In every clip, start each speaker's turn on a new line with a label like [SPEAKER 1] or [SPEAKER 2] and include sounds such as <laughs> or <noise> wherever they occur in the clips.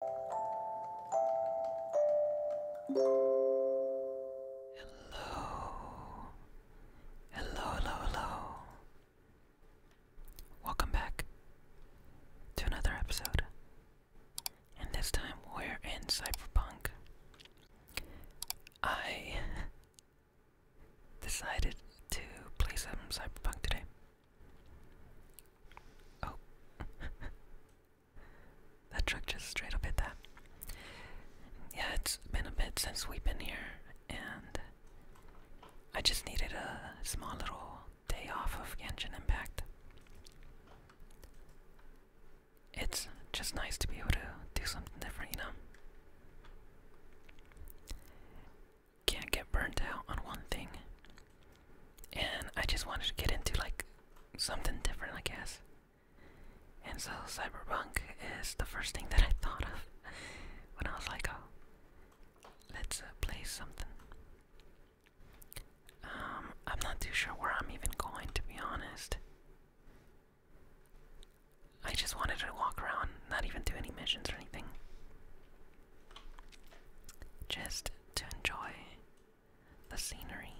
[SPEAKER 1] Hello. Hello, hello, hello. Welcome back to another episode. And this time we're in Cyberpunk. I <laughs> decided to play some Cyberpunk today. Oh. <laughs> that truck just straight up hit that. Yeah, it's been a bit since we've been here, and I just needed a small little day off of Genshin Impact. It's just nice to be able to do something different, you know? Can't get burnt out on one thing and I just wanted to get into like something different, I guess. And so cyberpunk is the first thing that I thought of when I was like, "Oh, let's uh, play something." Um, I'm not too sure where I'm even going, to be honest. I just wanted to walk around, not even do any missions or anything. Just to enjoy the scenery.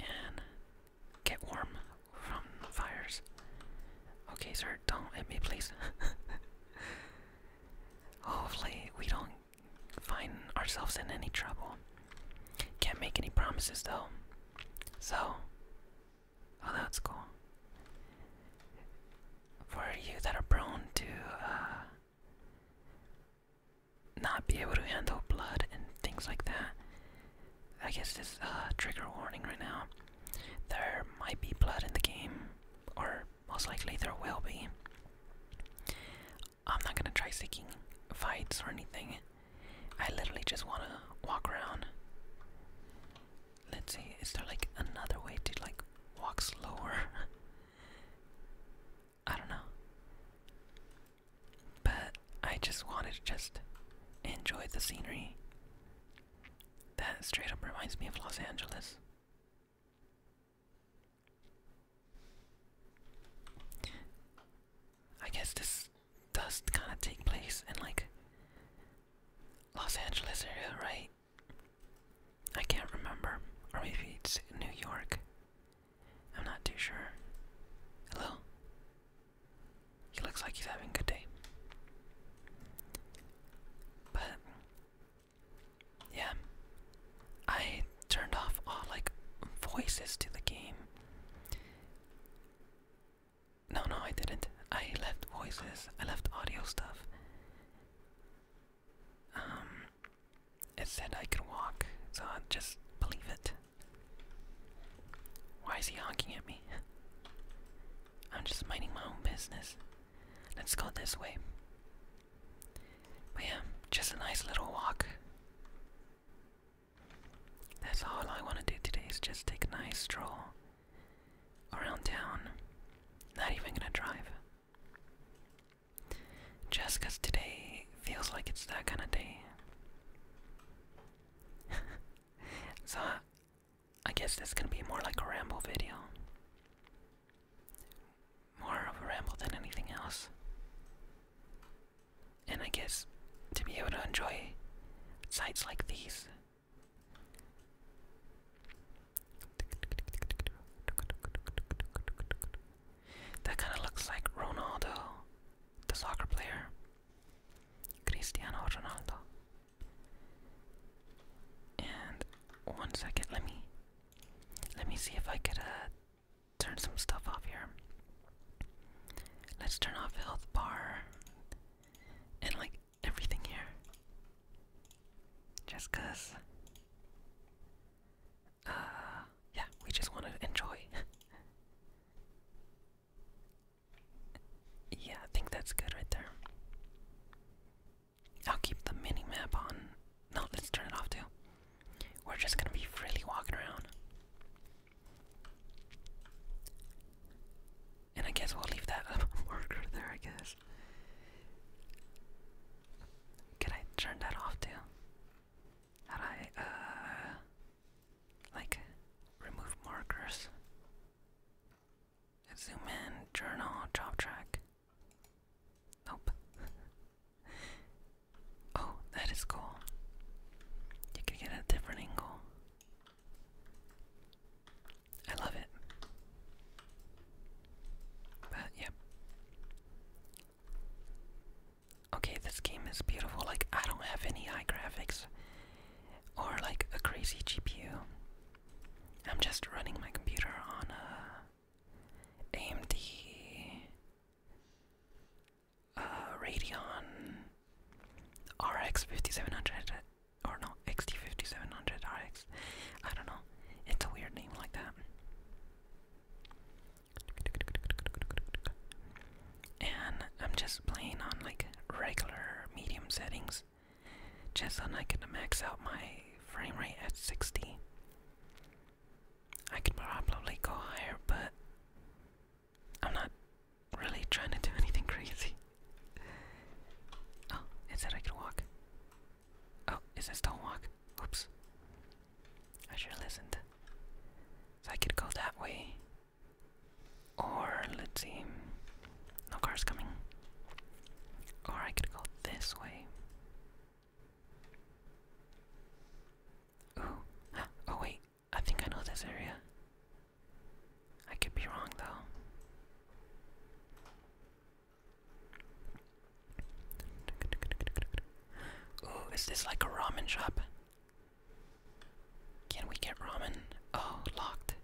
[SPEAKER 1] And get warm from fires. Okay, sir, don't hit me, please. <laughs> Hopefully, we don't find ourselves in any trouble. Can't make any promises, though. So, oh, that's cool for you that are prone to uh, not be able to handle blood and things like that. I guess this uh, trigger warning right now. There might be blood in the game, or most likely there will be. I'm not gonna try seeking fights or anything. I literally just wanna walk around Let's see, is there like another way to like walk slower? <laughs> I don't know. But I just wanted to just enjoy the scenery. That straight up reminds me of Los Angeles. I guess this does kind of take place in like Los Angeles area, right? I can't remember, or maybe it's New York. I'm not too sure. Hello? He looks like he's having a good day. But, yeah. I turned off all, like, voices to the game. No, no, I didn't. I left voices, I left audio stuff. Um, it said I can walk, so I just believe it. Why is he honking at me? <laughs> I'm just minding my own business. Let's go this way. But yeah, just a nice little walk. That's all I want to do today is just take a nice stroll around town. Not even gonna drive. Just cause today feels like it's that kind of day. <laughs> so, I, guess this gonna be more like a ramble video. More of a ramble than anything else. And I guess to be able to enjoy sights like these that kind of looks like Ronaldo, the soccer player. Cristiano Ronaldo. And one second, let me let me see if I could turn some stuff off here. Let's turn off health bar and like everything here. Just cause. Uh, yeah, we just want to enjoy. <laughs> yeah, I think that's good right there. I'll keep the mini map on. No, let's turn it off too. We're just gonna be freely walking around. And I guess we'll leave that <laughs> marker there, I guess. Can I turn that off too? How do I, uh, like, remove markers? Zoom in, journal, job track. Nope. <laughs> oh, that is cool. You can get a different angle. I love it. But yeah. Okay, this game is beautiful. Like, I don't have any high graphics or like a crazy GPU. I'm just running my computer on uh, a AMD uh, Radeon RX 5700 or no, XT 5700 RX. I don't know. It's a weird name like that. And I'm just playing on like regular medium settings just so I can max out my frame rate at 60. I could probably go higher, but I'm not really trying to do <laughs> anything crazy. Oh, it said I could walk. Oh, is it Stonewalk? Oops. I should have listened. So I could go that way. Or, let's see. No car's coming. Or I could go this way. Ooh. <gasps> Oh, wait. I think I know this area. I could be wrong, though. Ooh, is this like a ramen shop? Can we get ramen? Oh, locked.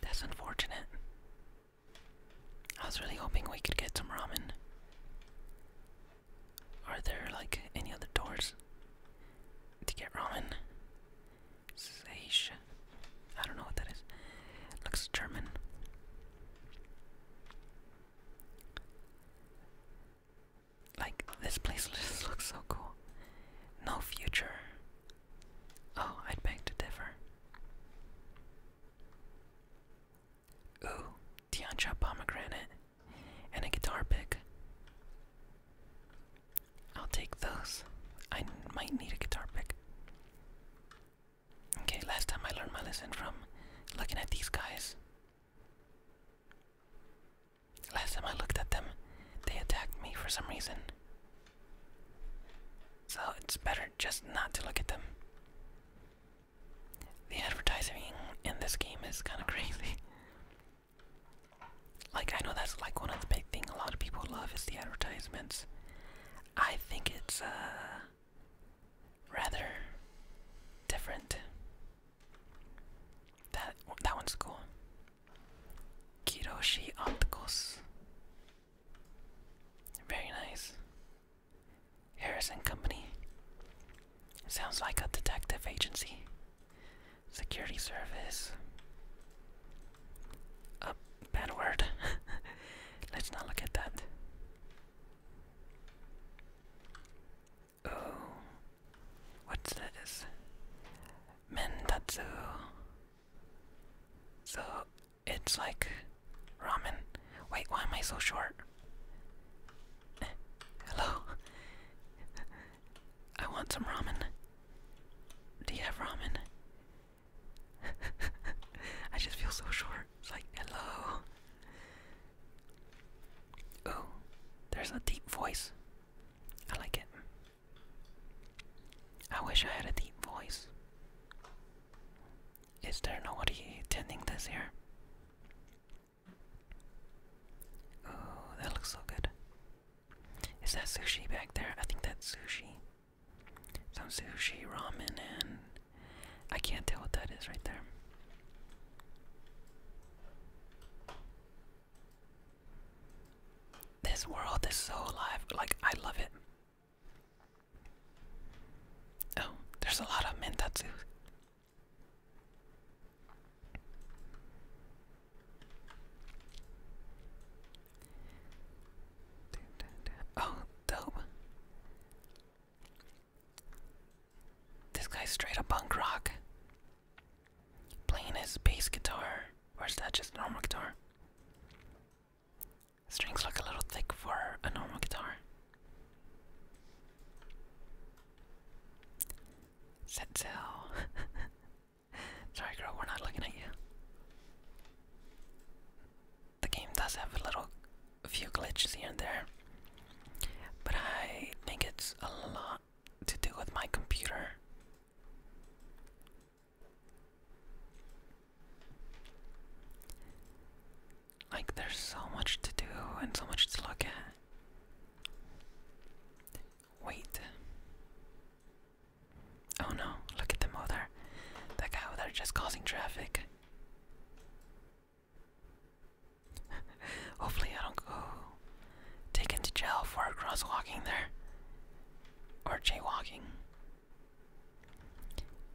[SPEAKER 1] That's unfortunate. I was really hoping we could get some ramen. Are there like any other doors to get ramen? Seisha. I don't know what that is. It looks German. Like this place just <laughs> looks so cool. No future. Oh, I'd beg to differ. Ooh, Tiancha pomegranate and a guitar pick. I'll take those. I might need a guitar pick. Okay, last time I learned my lesson from looking at these guys. Last time I looked at them, they attacked me for some reason. So it's better just not to look at them. The advertising in this game is kind of crazy. Like, I know that's like one of the big things a lot of people love is the advertisements. I think it's, uh rather different. That that one's cool. Kiroshi Opticals. Very nice. Harris and Company. Sounds like a detective agency. Security service. A oh, bad word. <laughs> Let's not look at that. Oh, what's this? Mendatsu. So it's like ramen. Wait, why am I so short? <laughs> Hello. <laughs> I want some ramen. Do you have ramen? <laughs> I just feel so short. It's like, hello. Oh, there's a deep voice. I like it. I wish I had a deep voice. Is there nobody attending this here? Oh, that looks so good. Is that sushi back there? I think that's sushi. Some sushi, ramen, and I can't tell what that is right there. This world is so alive. Like, I love it. Oh, there's a lot of mentatsu. Oh, dope. This guy's straight up punk rock. Playing his bass guitar. Or is that just normal guitar? Strings look a little thick for a normal guitar. Set <laughs> Sorry, girl, we're not looking at you. The game does have a little a few glitches here and there. But I think it's a lot to do with my computer. Like, there's so much to do and so much to look at. Wait. Oh no, look at them over That guy over there just causing traffic. <laughs> Hopefully, I don't go taken to jail for crosswalking there or jaywalking.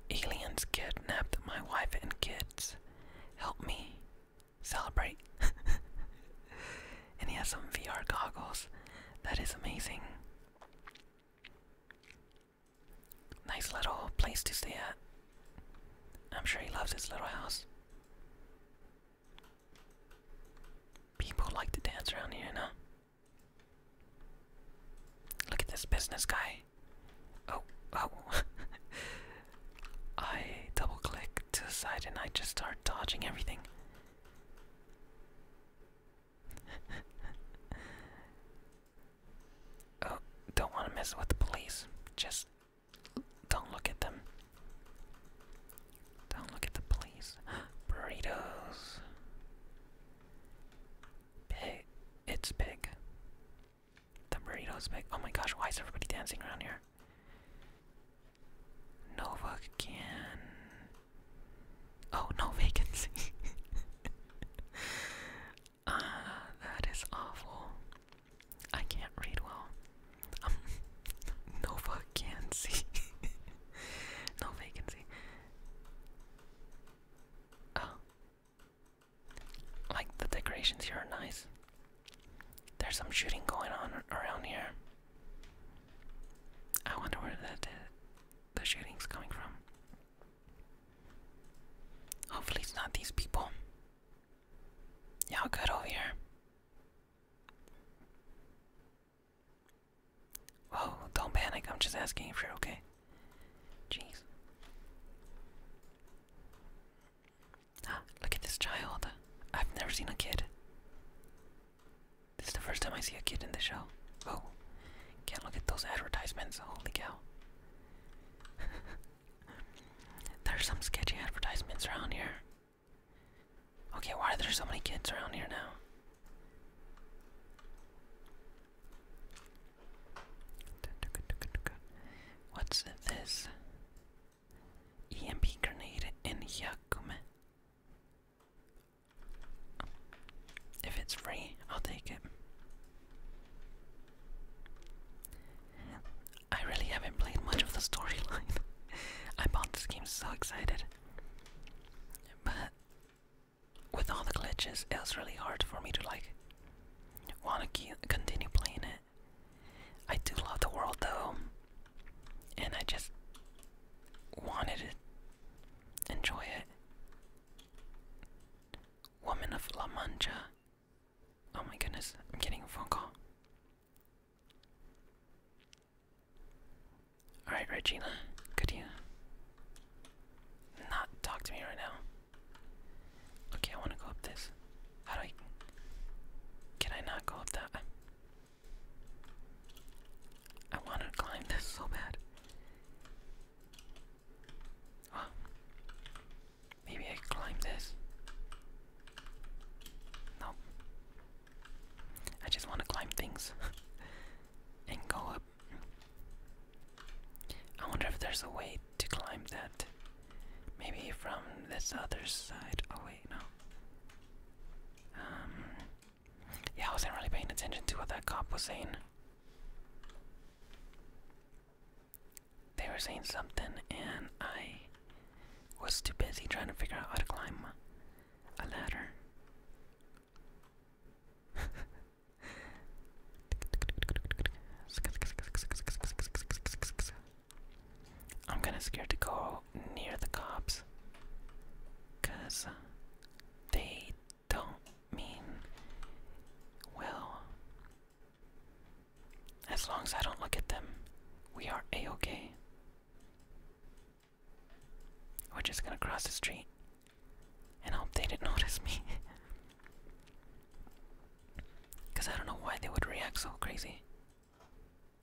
[SPEAKER 1] Aliens kidnapped my wife and kids. Help me celebrate. <laughs> and he has some VR goggles. That is amazing. Nice little place to stay at. I'm sure he loves his little house. People like to dance around here, no? Look at this business guy. Oh, oh. <laughs> I double click to the side and I just start dodging everything. <laughs> Oh, don't want to mess with the police. Just don't look at them. Don't look at the police. <gasps> Burritos. Big. It's big. The burrito's big. Oh my gosh, why is everybody dancing around here? Nova Oh, no <laughs> vacancy. Ah, <sighs> that is awful. I can't read well. Um, <laughs> no vacancy. <laughs> no vacancy. Oh. Like, the decorations here are nice. There's some shooting going on around here. I wonder where that, the shooting's coming from. Hopefully it's not these people. Y'all good over here. Whoa, don't panic, I'm just asking if you're okay. Jeez. Ah, <gasps> look at this child. I've never seen a kid. This is the first time I see a kid in the show. Oh, can't look at those advertisements. Holy cow. There's some sketchy advertisements around here. Okay, why are there so many kids around here now? What's this? EMP grenade in Yakume. If it's free, I'll take it. I really haven't played much of the storyline. <laughs> I bought this game so excited. But with all the glitches, it was really hard for me to like want to continue playing it. I do love the world though, and I just wanted to enjoy it. Woman of La Mancha. Oh my goodness, I'm getting a phone call. Alright, Regina, could you not talk to me right now? Okay, I want to go up this. How do I. Can I not go up that? I want to climb this so bad. Huh. Maybe I climb this. Nope. I just want to climb things <laughs> and go up. I wonder if there's a way to climb that. Maybe from this other side. Oh, wait, no. Um. Yeah, I wasn't really paying attention to what that cop was saying. They were saying something, and I was too busy trying to figure out how to climb a ladder. <laughs> I'm kind of scared to go near the cops because they don't mean well. As long as I don't look at them, we are a-okay. We're just gonna cross the street and hope they didn't <laughs> notice me. Because I don't know why they would react so crazy.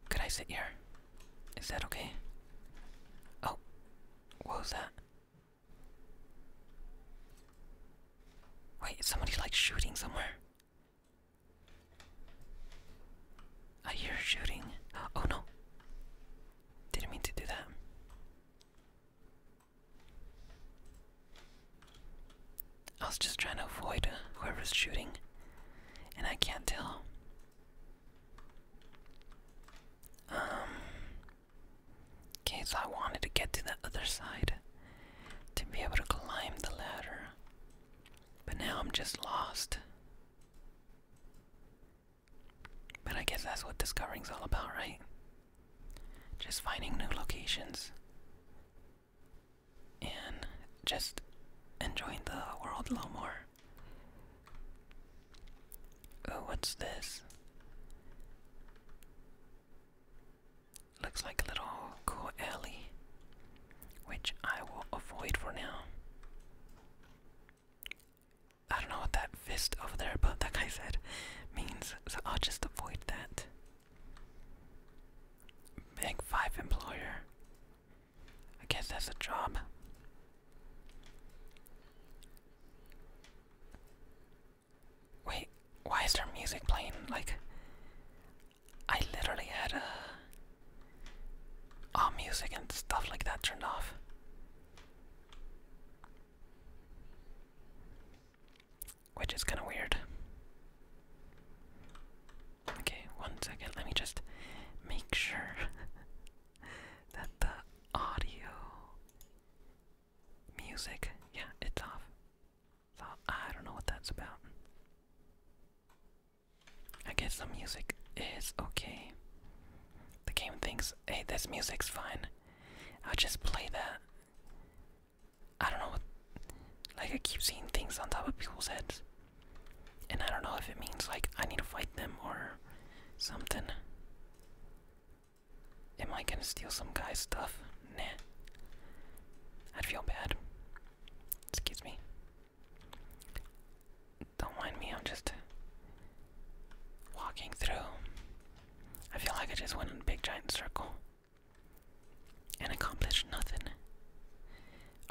[SPEAKER 1] Could I sit here? Is that okay? Oh, what was that? Wait, somebody's like shooting somewhere. I hear shooting. Oh no. Didn't mean to do that. I was just trying to avoid whoever's shooting, and I can't tell. Um, Okay, so I wanted to get to the other side to be able to climb the ladder. But now I'm just lost. But I guess that's what discovering's all about, right? Just finding new locations. And just enjoying the world a little more. Oh, what's this? Looks like a little cool which I will avoid for now. I don't know what that fist over there above that guy said means, so I'll just avoid that. Big five employer. I guess that's a job. Wait, why is there music playing? Like, I literally had a. Uh, all music and stuff like that turned off. Which is kind of weird. Okay, one second. Let me just make sure <laughs> that the audio music, yeah, it's off. I don't know what that's about. I guess the music is okay. The game thinks, hey, this music's fine. I'll just play that. I don't know what. Like, I keep seeing things on top of people's heads. And I don't know if it means, like, I need to fight them or something. Am I gonna steal some guy's stuff? Nah. I'd feel bad. Excuse me. Don't mind me, I'm just walking through. I feel like I just went in a big giant circle and accomplished nothing.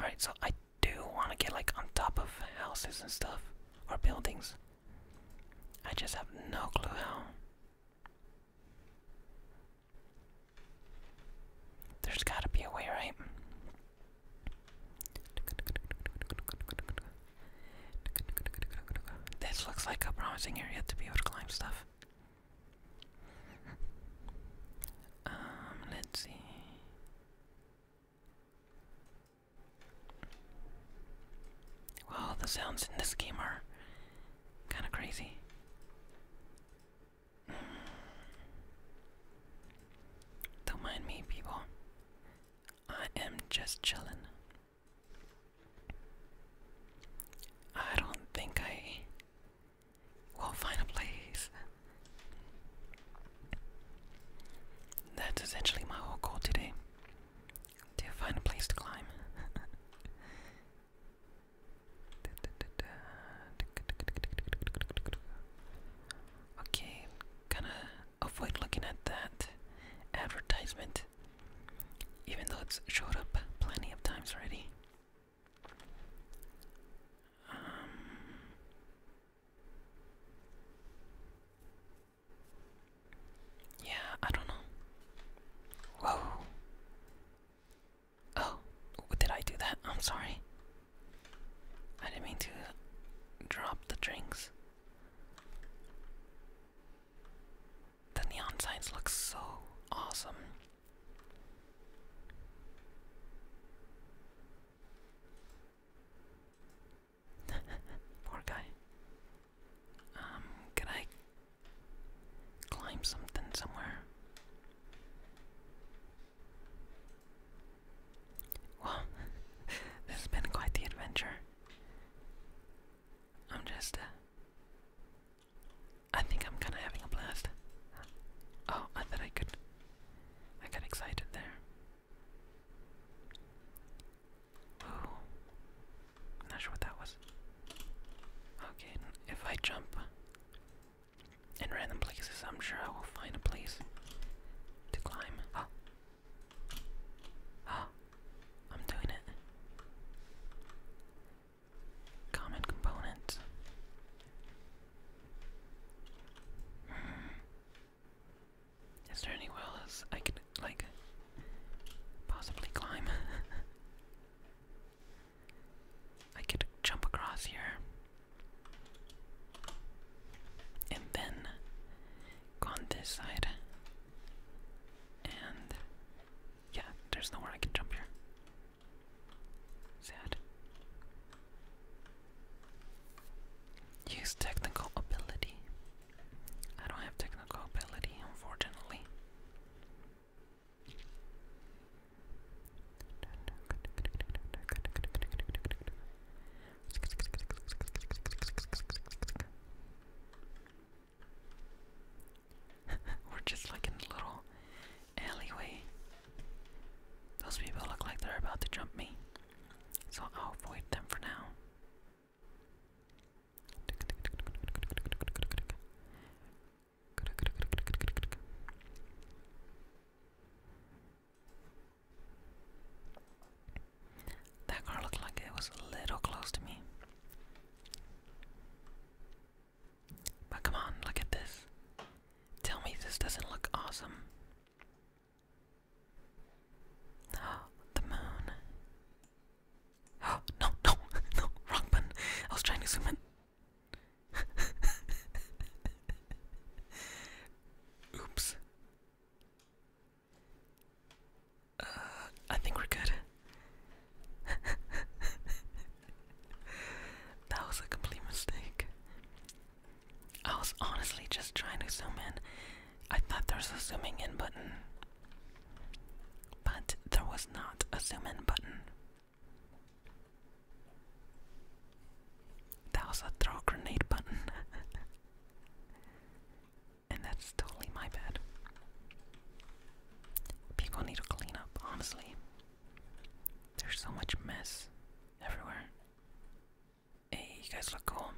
[SPEAKER 1] Alright, so I do want to get like on top of houses and stuff or buildings. I just have no clue how. There's gotta be a way, right? This looks like a promising area to be able to climb stuff. um, let's see. Well, the sounds in this game are Kind of crazy. Don't mind me, people. I am just chilling. I don't think I will find a place. That's essentially my whole goal today. To find a place to climb. <laughs> Okay, gonna avoid looking at that advertisement, even though it's showed up plenty of times already. Um, yeah, I don't know. Oh, did I do that? I'm sorry. I didn't mean to drop the drinks. The neon signs look so awesome. <laughs> Poor guy. Um, can I Climb something somewhere. Well, <laughs> this has been quite the adventure. I'm just. Uh, I think I'm kind of having a blast. Oh, I thought I could. I got excited there. Ooh. I'm not sure what that was. Okay, if I jump in random places, I'm sure I will find a place to climb. <gasps> Ah, ah, I'm doing it. Common component. Hmm. Is there anywhere else I could like possibly climb? <laughs> I could jump across here. And then go on this side. And yeah, there's nowhere I can jump here. Sad. Use technical ability. I don't have technical ability, unfortunately. <laughs> We're just like in a little alleyway. Those people look like they're about to jump me, so I'll avoid them for now. That car looked like it was a little close to me. But come on, look at this. Tell me this doesn't look awesome. Ah, the moon. Oh, <gasps> no, no, <laughs> no, wrong I was trying to zoom in. <laughs> Oops. Uh, I think we're good. <laughs> that was a complete mistake. I was honestly just trying to zoom in. I thought there was a zooming in button, but there was not a zoom in button. That was a throw grenade button. <laughs> and that's totally my bad. People need to clean up, honestly. There's so much mess everywhere. Hey, you guys look cool.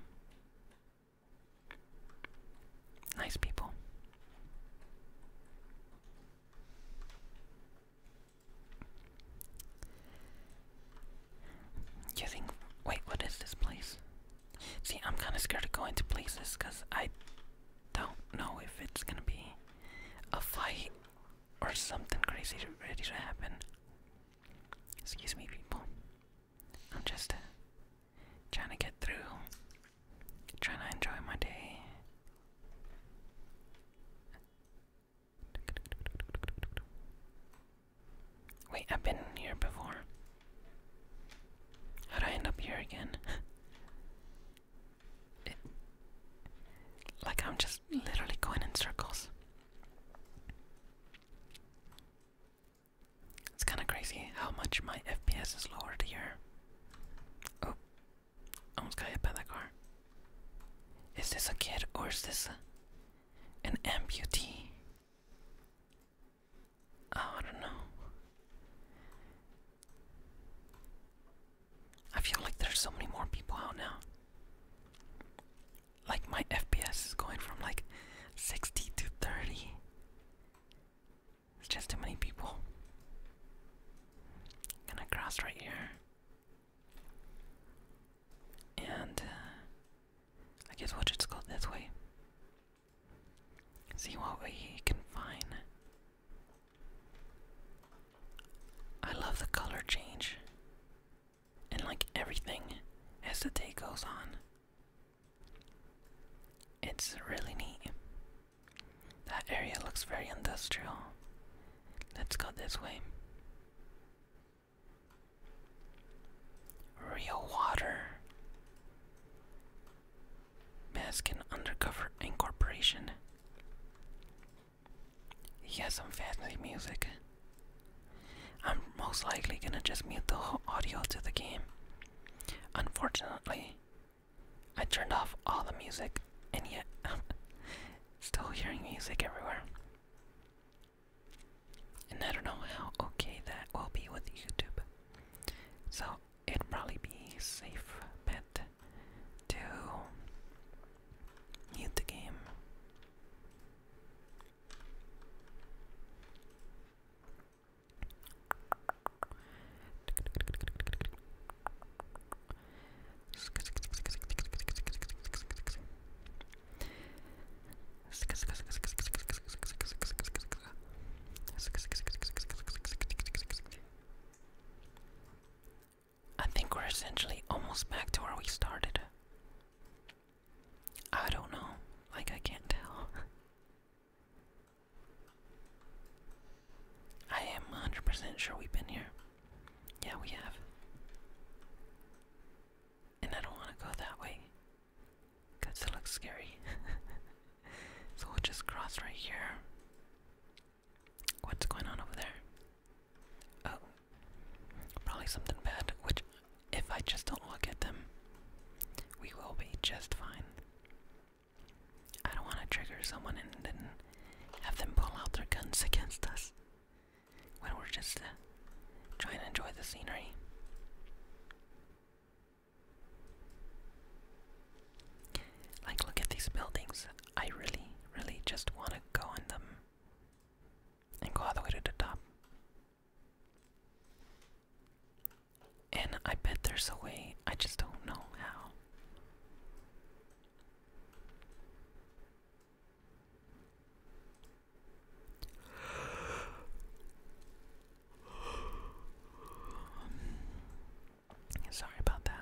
[SPEAKER 1] Nice people. You think. Wait, what is this place? See, I'm kinda scared of going to places because I don't know if it's gonna be a fight or something crazy ready to happen. Excuse me, people. I'm just uh, trying to get through trying to enjoy my day. Wait, I've been here before. How'd I end up here again? <laughs> like, I'm just literally going in circles. It's kind of crazy how much my FPS is lowered here. Oh, Almost got hit by that car. Is this a kid or is this an amputee? Oh, I don't know. I feel like there's so many more people out now. Like my FPS is going from like 60 to 30. It's just too many people. Gonna cross right here. And uh, I guess we'll just go this way. See what we can find. I love the color change. And like everything as the day goes on. It's really neat. That area looks very industrial. Let's go this way. Real water. Mask and Undercover Incorporation. He has some fancy music. I'm most likely gonna just mute the whole audio to the game. Unfortunately, I turned off all the music, and yet I'm <laughs> still hearing music everywhere. And I don't know how okay that will be with YouTube. So it'd probably be safe bet to mute the game. I think we're essentially almost back to where we started. I don't know. Like, I can't tell. <laughs> I am 100% sure we've been here. Yeah, we have. And I don't want to go that way. Because it looks scary. <laughs> so we'll just cross right here. What's going on over there? Oh. Probably something bad, which, if I just don't look at them, we will be just fine. I don't want to trigger someone and then have them pull out their guns against us when we're just uh, trying to enjoy the scenery. Like, look at these buildings. I really, really just want to go on them and go all the way to the top. And I bet there's a way, I just don't know how. Sorry about that.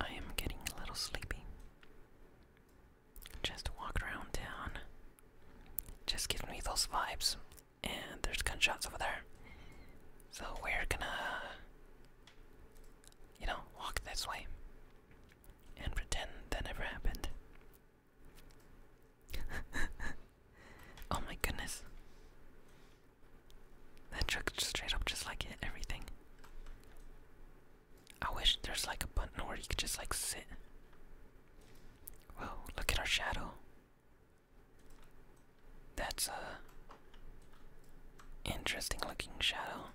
[SPEAKER 1] I am getting a little sleepy. Just walked around town. Just gives me those vibes. And there's gunshots over there. So we're gonna you know, walk this way and pretend that never happened. <laughs> oh my goodness. That truck straight up just like hit everything. I wish there's like a button where you could just like sit. Whoa, look at our shadow. That's uh Interesting looking shadow.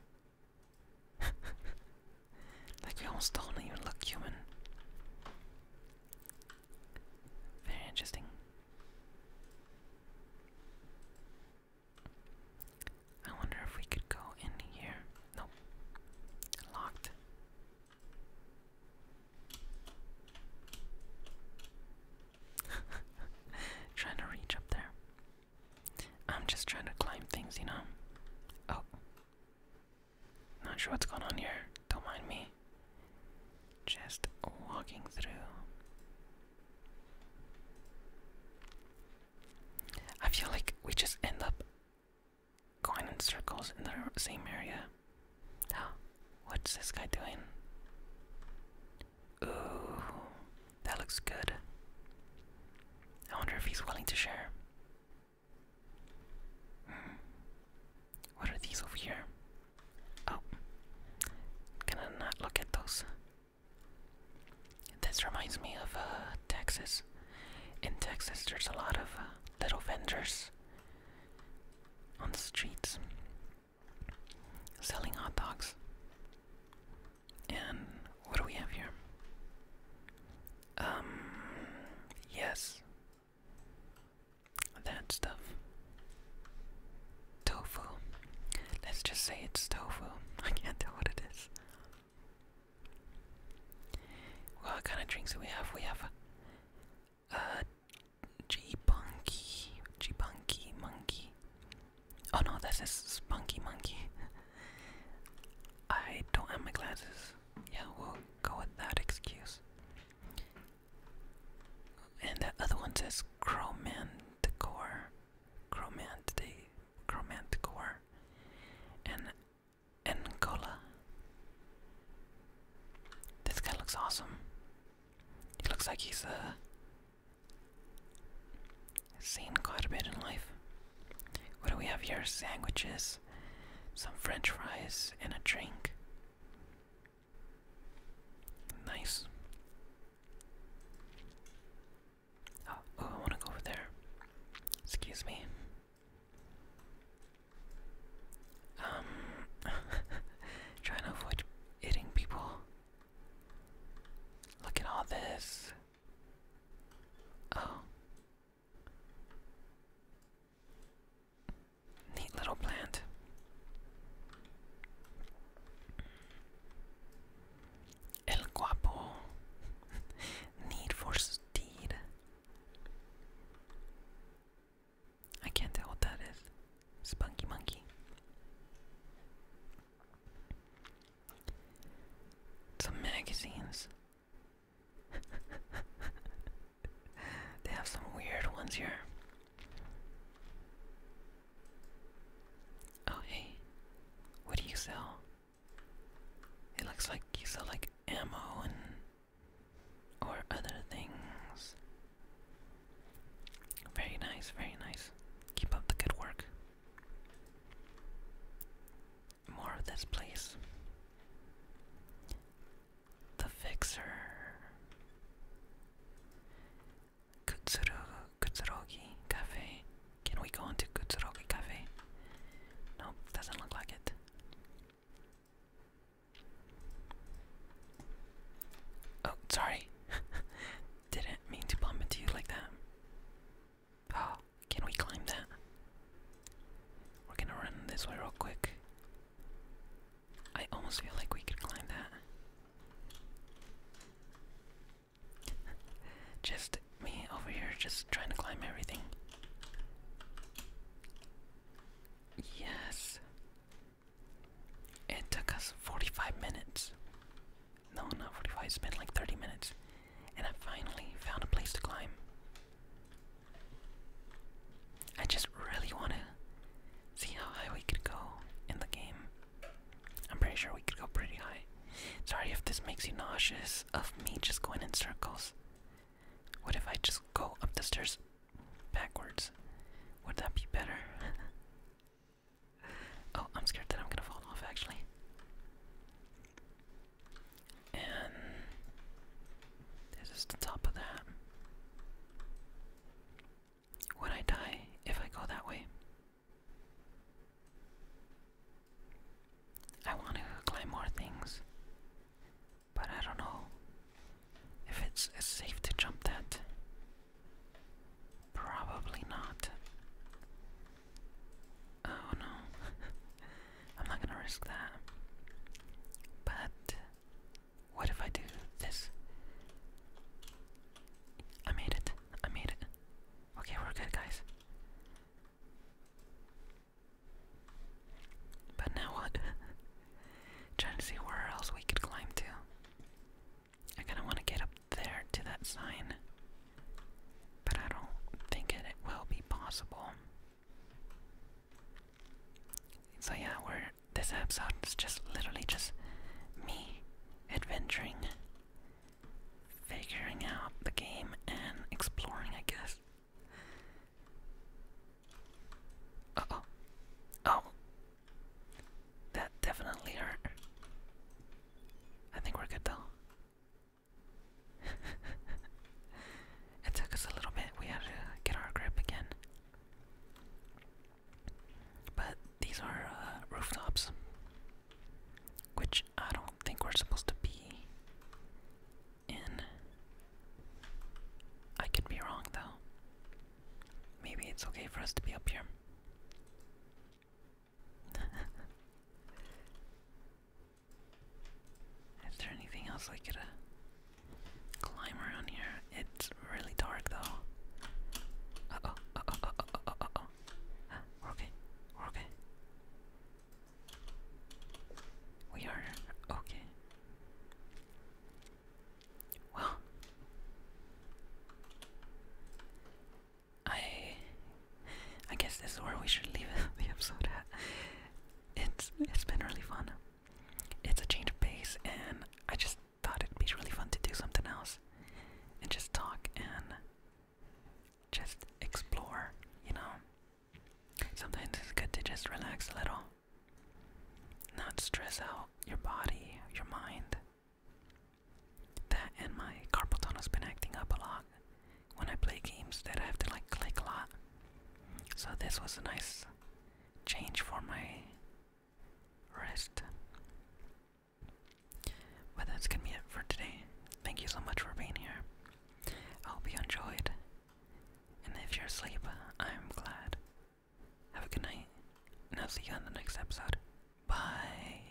[SPEAKER 1] <laughs> like we almost don't even look human. Very interesting. I wonder if we could go in here. Nope. Locked. <laughs> Trying to reach up there. I'm just trying to climb things, you know? Oh. Not sure what's going on here. Don't mind me. Just walking through. I feel like we just end up going in circles in the same area. <gasps> What's this guy doing? Ooh, that looks good. I wonder if he's willing to share. Hmm. What are these over here? Oh, can I not look at those? This reminds me of uh, Texas. In Texas, there's a lot of uh, little vendors on the streets selling hot dogs. And what do we have here? Um, yes. That stuff. Tofu. Let's just say it's tofu. <laughs> I can't tell what it is. What kind of drinks do we have? We have a. a G-Bunky. G-Bunky monkey. Oh no, this is Spunky Monkey. I don't have my glasses. Yeah, we'll go with that excuse. And that other one says Chromanticore. Chromanti Chromanticore. And Angola. This guy looks awesome. He looks like he's a Seen quite a bit in life. What do we have here? Sandwiches, some french fries, and a drink. Nice. Oh, oh I want to go over there. Excuse me. Um, <laughs> trying to avoid hitting people. Look at all this. Oh. Neat little plant. El guapo. <laughs> Need for steed. I can't tell what that is. Spunky monkey. Some magazines. <laughs> they have some weird ones here. Oh, hey. What do you sell? It looks like you sell like ammo and. or other things. Very nice, very nice. Keep up the good work. More of this place. The Fixer. Kutsuro, Cafe. Can we go into Kuturogi Cafe? Nope, doesn't look like it. Oh, sorry. <laughs> Didn't mean to bump into you like that. Oh, <gasps> can we climb that? We're gonna run this way real quick. I almost feel like we could climb that. <laughs> just me over here, just trying to climb everything. Yes. It took us 45 minutes. No, not 45. It's been like 30 minutes. And I finally found a place to climb. I just really want to see how high we could go in the game. I'm pretty sure we could go pretty high. Sorry if this makes you nauseous of me just going in circles. What if I just go up the stairs backwards? Would that be better? <laughs> Oh, I'm scared that I'm gonna fall off actually. And this is the top of that. When I die, if I go that way, I want to climb more things, but I don't know if it's safe to jump that. Probably not. Oh no. <laughs> I'm not gonna risk that. But what if I do this? I made it. I made it. Okay, we're good, guys. But now what? <laughs> Trying to see where else we could climb to. I kinda wanna get up there to that sign. But I don't think it, will be possible. So yeah, we're this episode is just literally just me adventuring, figuring out the game and exploring, I guess. oh. Oh. That definitely hurt. I think we're good though. <laughs> it took us a little bit. We had to get our grip again. But these are uh, rooftops, which I don't think we're supposed to be in. I could be wrong though. Maybe it's okay for us to be up here. <laughs> Is there anything else I could uh, climb around here? It's really dark though. Uh oh, uh oh, oh, oh, -oh. we're okay, we're okay. We are okay. Well, I I guess this is where we should leave <laughs> the episode It's it's been really fun. It's a change of pace and I just thought it'd be really fun to do something else and just talk and just explore, you know. Sometimes it's good to just relax a little. Not stress out your body, your mind. That and my carpal tunnel's been acting up a lot when I play games that I have to like click a lot. So this was a nice change for my wrist. But that's gonna be it for today. Thank you so much for being here. I hope you enjoyed. And if you're asleep, I'm glad. Have a good night, and I'll see you on the next episode. Bye.